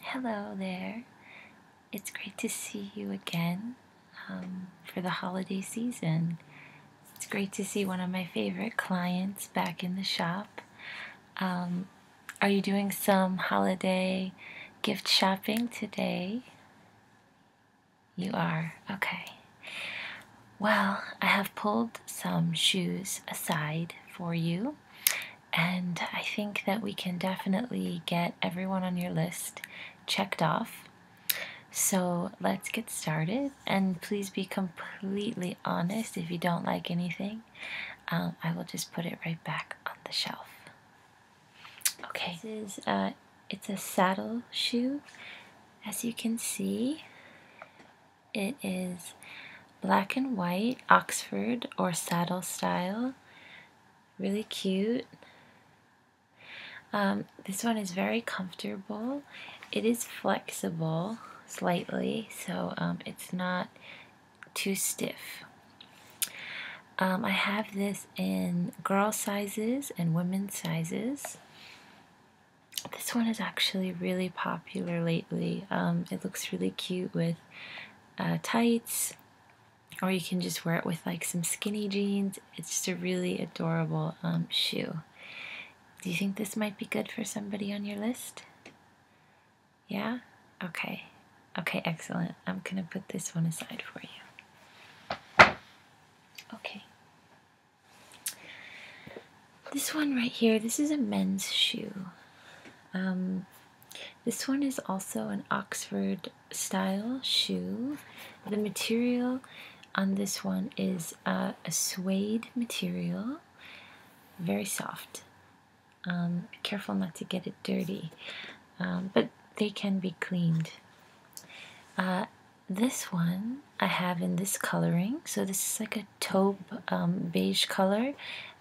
Hello there. It's great to see you again um, for the holiday season. It's great to see one of my favorite clients back in the shop. Um, are you doing some holiday gift shopping today? You are? Okay. Well, I have pulled some shoes aside for you. And I think that we can definitely get everyone on your list checked off. So let's get started. And please be completely honest if you don't like anything. Um, I will just put it right back on the shelf. Okay. This is, uh, it's a saddle shoe, as you can see. It is black and white, Oxford or saddle style. Really cute. Um, this one is very comfortable. It is flexible slightly, so um, it's not too stiff. Um, I have this in girl sizes and women's sizes. This one is actually really popular lately. Um, it looks really cute with uh, tights, or you can just wear it with like some skinny jeans. It's just a really adorable um, shoe. Do you think this might be good for somebody on your list? Yeah? Okay. Okay, excellent. I'm going to put this one aside for you. Okay. This one right here, this is a men's shoe. Um, this one is also an Oxford style shoe. The material on this one is uh, a suede material, very soft. Um, careful not to get it dirty, um, but they can be cleaned. Uh, this one I have in this coloring, so this is like a taupe um, beige color,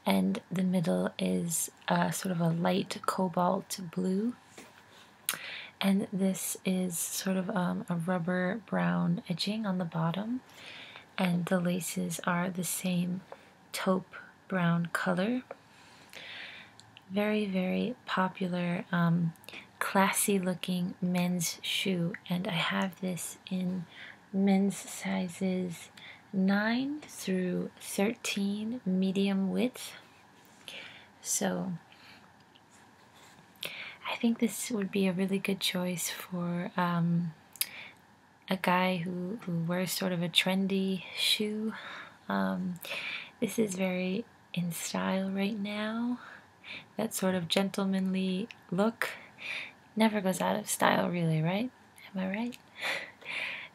and the middle is uh, sort of a light cobalt blue. And this is sort of um, a rubber brown edging on the bottom, and the laces are the same taupe brown color. Very, very popular, um, classy looking men's shoe, and I have this in men's sizes 9 through 13 medium width so I think this would be a really good choice for um, a guy who, wears sort of a trendy shoe um, this is very in style right now that sort of gentlemanly look never goes out of style really right Am I right?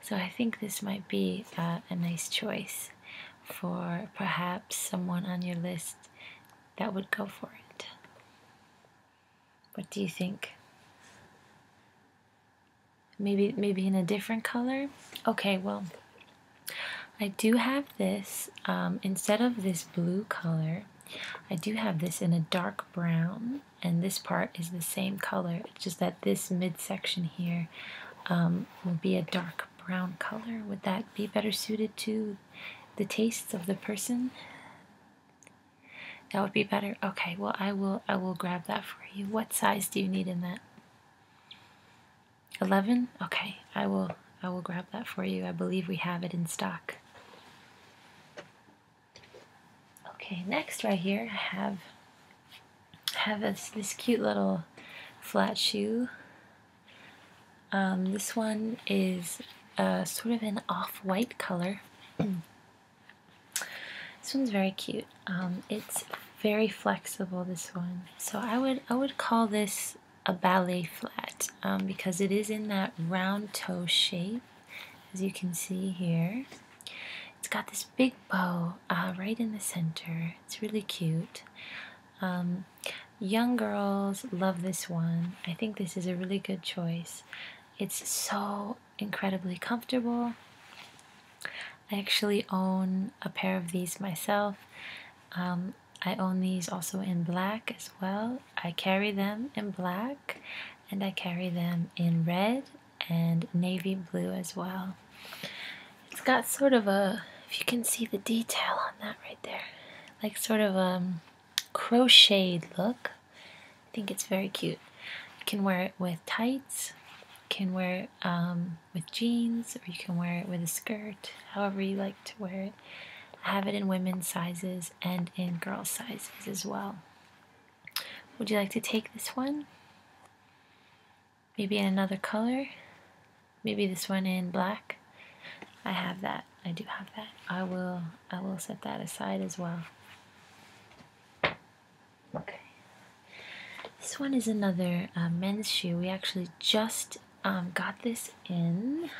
so I think this might be uh, a nice choice for perhaps someone on your list that would go for it. What do you think? Maybe maybe in a different color? Okay, well, I do have this, um, instead of this blue color, I do have this in a dark brown and this part is the same color it's just that this mid section here um, will be a dark brown color would that be better suited to the tastes of the person that would be better okay well I will I will grab that for you what size do you need in that 11 okay I will I will grab that for you I believe we have it in stock Okay, next right here I have have this, this cute little flat shoe. Um, this one is uh, sort of an off-white color. this one's very cute. Um, it's very flexible. This one, so I would I would call this a ballet flat um, because it is in that round toe shape as you can see here. It's got this big bow uh, right in the center. It's really cute. Um, young girls love this one. I think this is a really good choice. It's so incredibly comfortable. I actually own a pair of these myself. Um, I own these also in black as well. I carry them in black and I carry them in red and navy blue as well. It's got sort of a, if you can see the detail on that right there, like sort of a um, crocheted look. I think it's very cute. You can wear it with tights, you can wear it um, with jeans, or you can wear it with a skirt, however you like to wear it. I have it in women's sizes and in girls' sizes as well. Would you like to take this one? Maybe in another color? Maybe this one in black? I have that. I do have that. I will I will set that aside as well. Okay. This one is another uh, men's shoe. We actually just um, got this in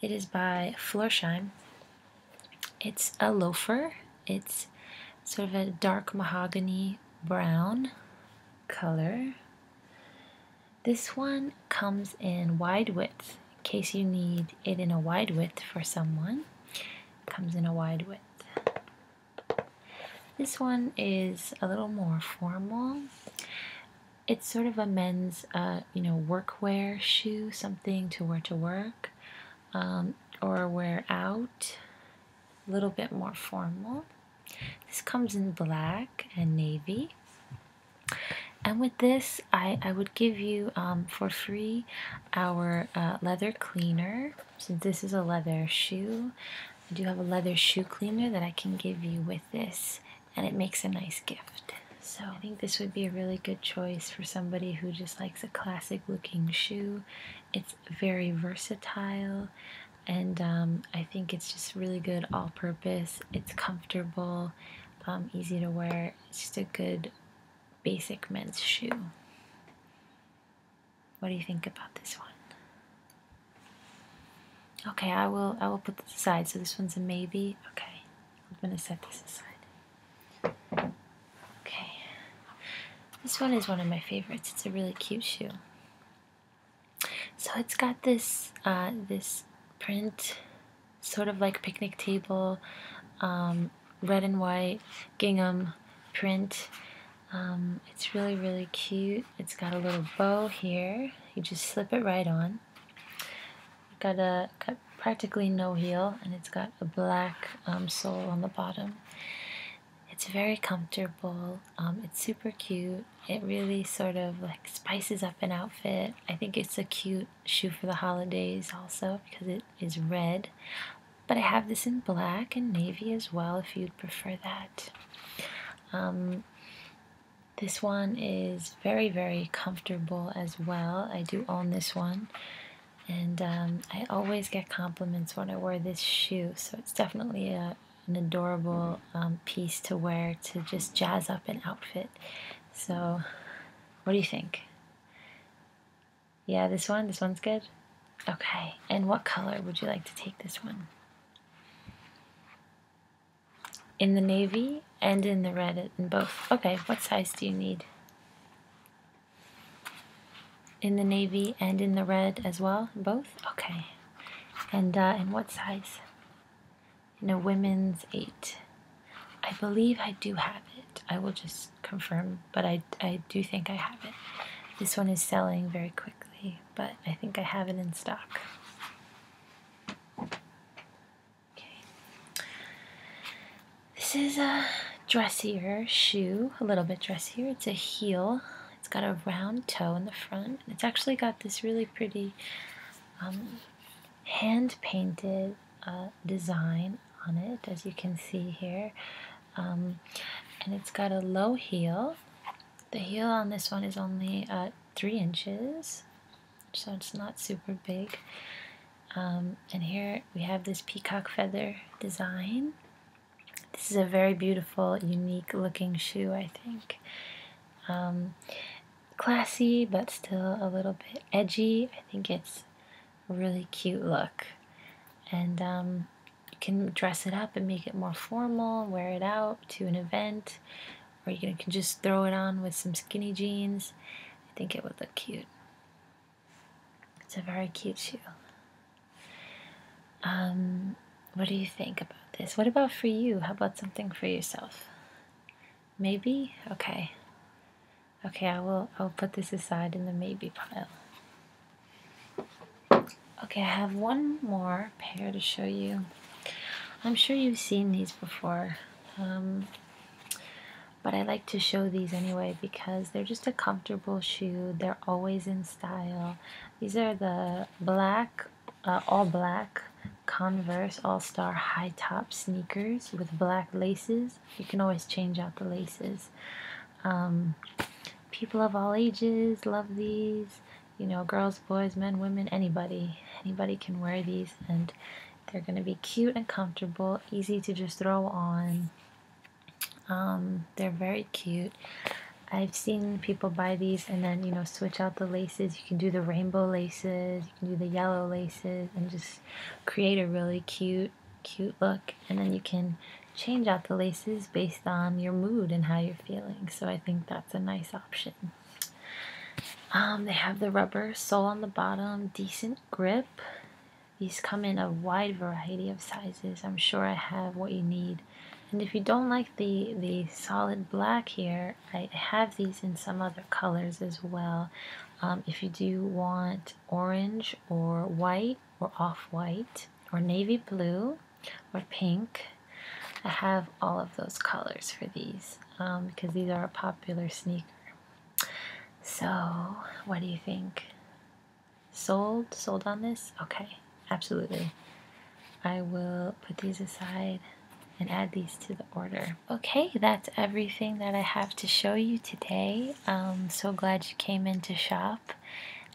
it is by Florsheim. It's a loafer. It's sort of a dark mahogany brown color. This one comes in wide width in case you need it in a wide width for someone. It comes in a wide width. This one is a little more formal. It's sort of a men's, uh, you know, workwear shoe, something to wear to work. Um, or wear out, a little bit more formal. This comes in black and navy. And with this, I, I would give you um, for free our uh, leather cleaner. So this is a leather shoe. I do have a leather shoe cleaner that I can give you with this, and it makes a nice gift. So I think this would be a really good choice for somebody who just likes a classic looking shoe. It's very versatile and um, I think it's just really good all purpose. It's comfortable, um, easy to wear. It's just a good basic men's shoe. What do you think about this one? Okay, I will I will put this aside. So this one's a maybe. Okay. I'm gonna set this aside. Okay. This one is one of my favorites. It's a really cute shoe. So it's got this uh, this print, sort of like picnic table, um, red and white gingham print. Um, it's really really cute. It's got a little bow here. You just slip it right on got a got practically no heel and it's got a black um, sole on the bottom. It's very comfortable. Um, it's super cute. It really sort of like spices up an outfit. I think it's a cute shoe for the holidays also because it is red. But I have this in black and navy as well if you'd prefer that. Um, this one is very, very comfortable as well. I do own this one and um, I always get compliments when I wear this shoe, so it's definitely a, an adorable um, piece to wear to just jazz up an outfit. So, what do you think? Yeah, this one? This one's good? Okay, and what color would you like to take this one? In the navy and in the red, in both. Okay, what size do you need? in the navy and in the red as well? Both? Okay. And uh, in what size? In a women's 8. I believe I do have it. I will just confirm, but I, I do think I have it. This one is selling very quickly, but I think I have it in stock. Okay. This is a dressier shoe, a little bit dressier. It's a heel. It's got a round toe in the front. It's actually got this really pretty um, hand-painted uh, design on it, as you can see here. Um, and it's got a low heel. The heel on this one is only uh, 3 inches, so it's not super big. Um, and here we have this peacock feather design. This is a very beautiful, unique looking shoe, I think. Um, classy, but still a little bit edgy. I think it's a really cute look. And um, you can dress it up and make it more formal, wear it out to an event, or you can just throw it on with some skinny jeans. I think it would look cute. It's a very cute shoe. Um, what do you think about this? What about for you? How about something for yourself? Maybe? Okay. Okay, I will I'll put this aside in the maybe pile. Okay, I have one more pair to show you. I'm sure you've seen these before. Um, but I like to show these anyway because they're just a comfortable shoe. They're always in style. These are the black, uh, all black Converse All-Star high top sneakers with black laces. You can always change out the laces. Um, people of all ages love these. You know, girls, boys, men, women, anybody. Anybody can wear these and they're going to be cute and comfortable, easy to just throw on um, they're very cute. I've seen people buy these and then you know switch out the laces. You can do the rainbow laces, you can do the yellow laces, and just create a really cute, cute look. And then you can change out the laces based on your mood and how you're feeling. So I think that's a nice option. Um, they have the rubber sole on the bottom, decent grip. These come in a wide variety of sizes. I'm sure I have what you need. And if you don't like the, the solid black here, I have these in some other colors as well. Um, if you do want orange or white or off-white or navy blue or pink, I have all of those colors for these um, because these are a popular sneaker. So, what do you think? Sold? Sold on this? Okay, absolutely. I will put these aside and add these to the order. Okay, that's everything that I have to show you today. Um, so glad you came in to shop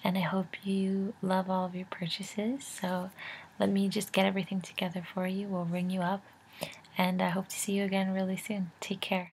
and I hope you love all of your purchases. So let me just get everything together for you. We'll ring you up and I hope to see you again really soon. Take care.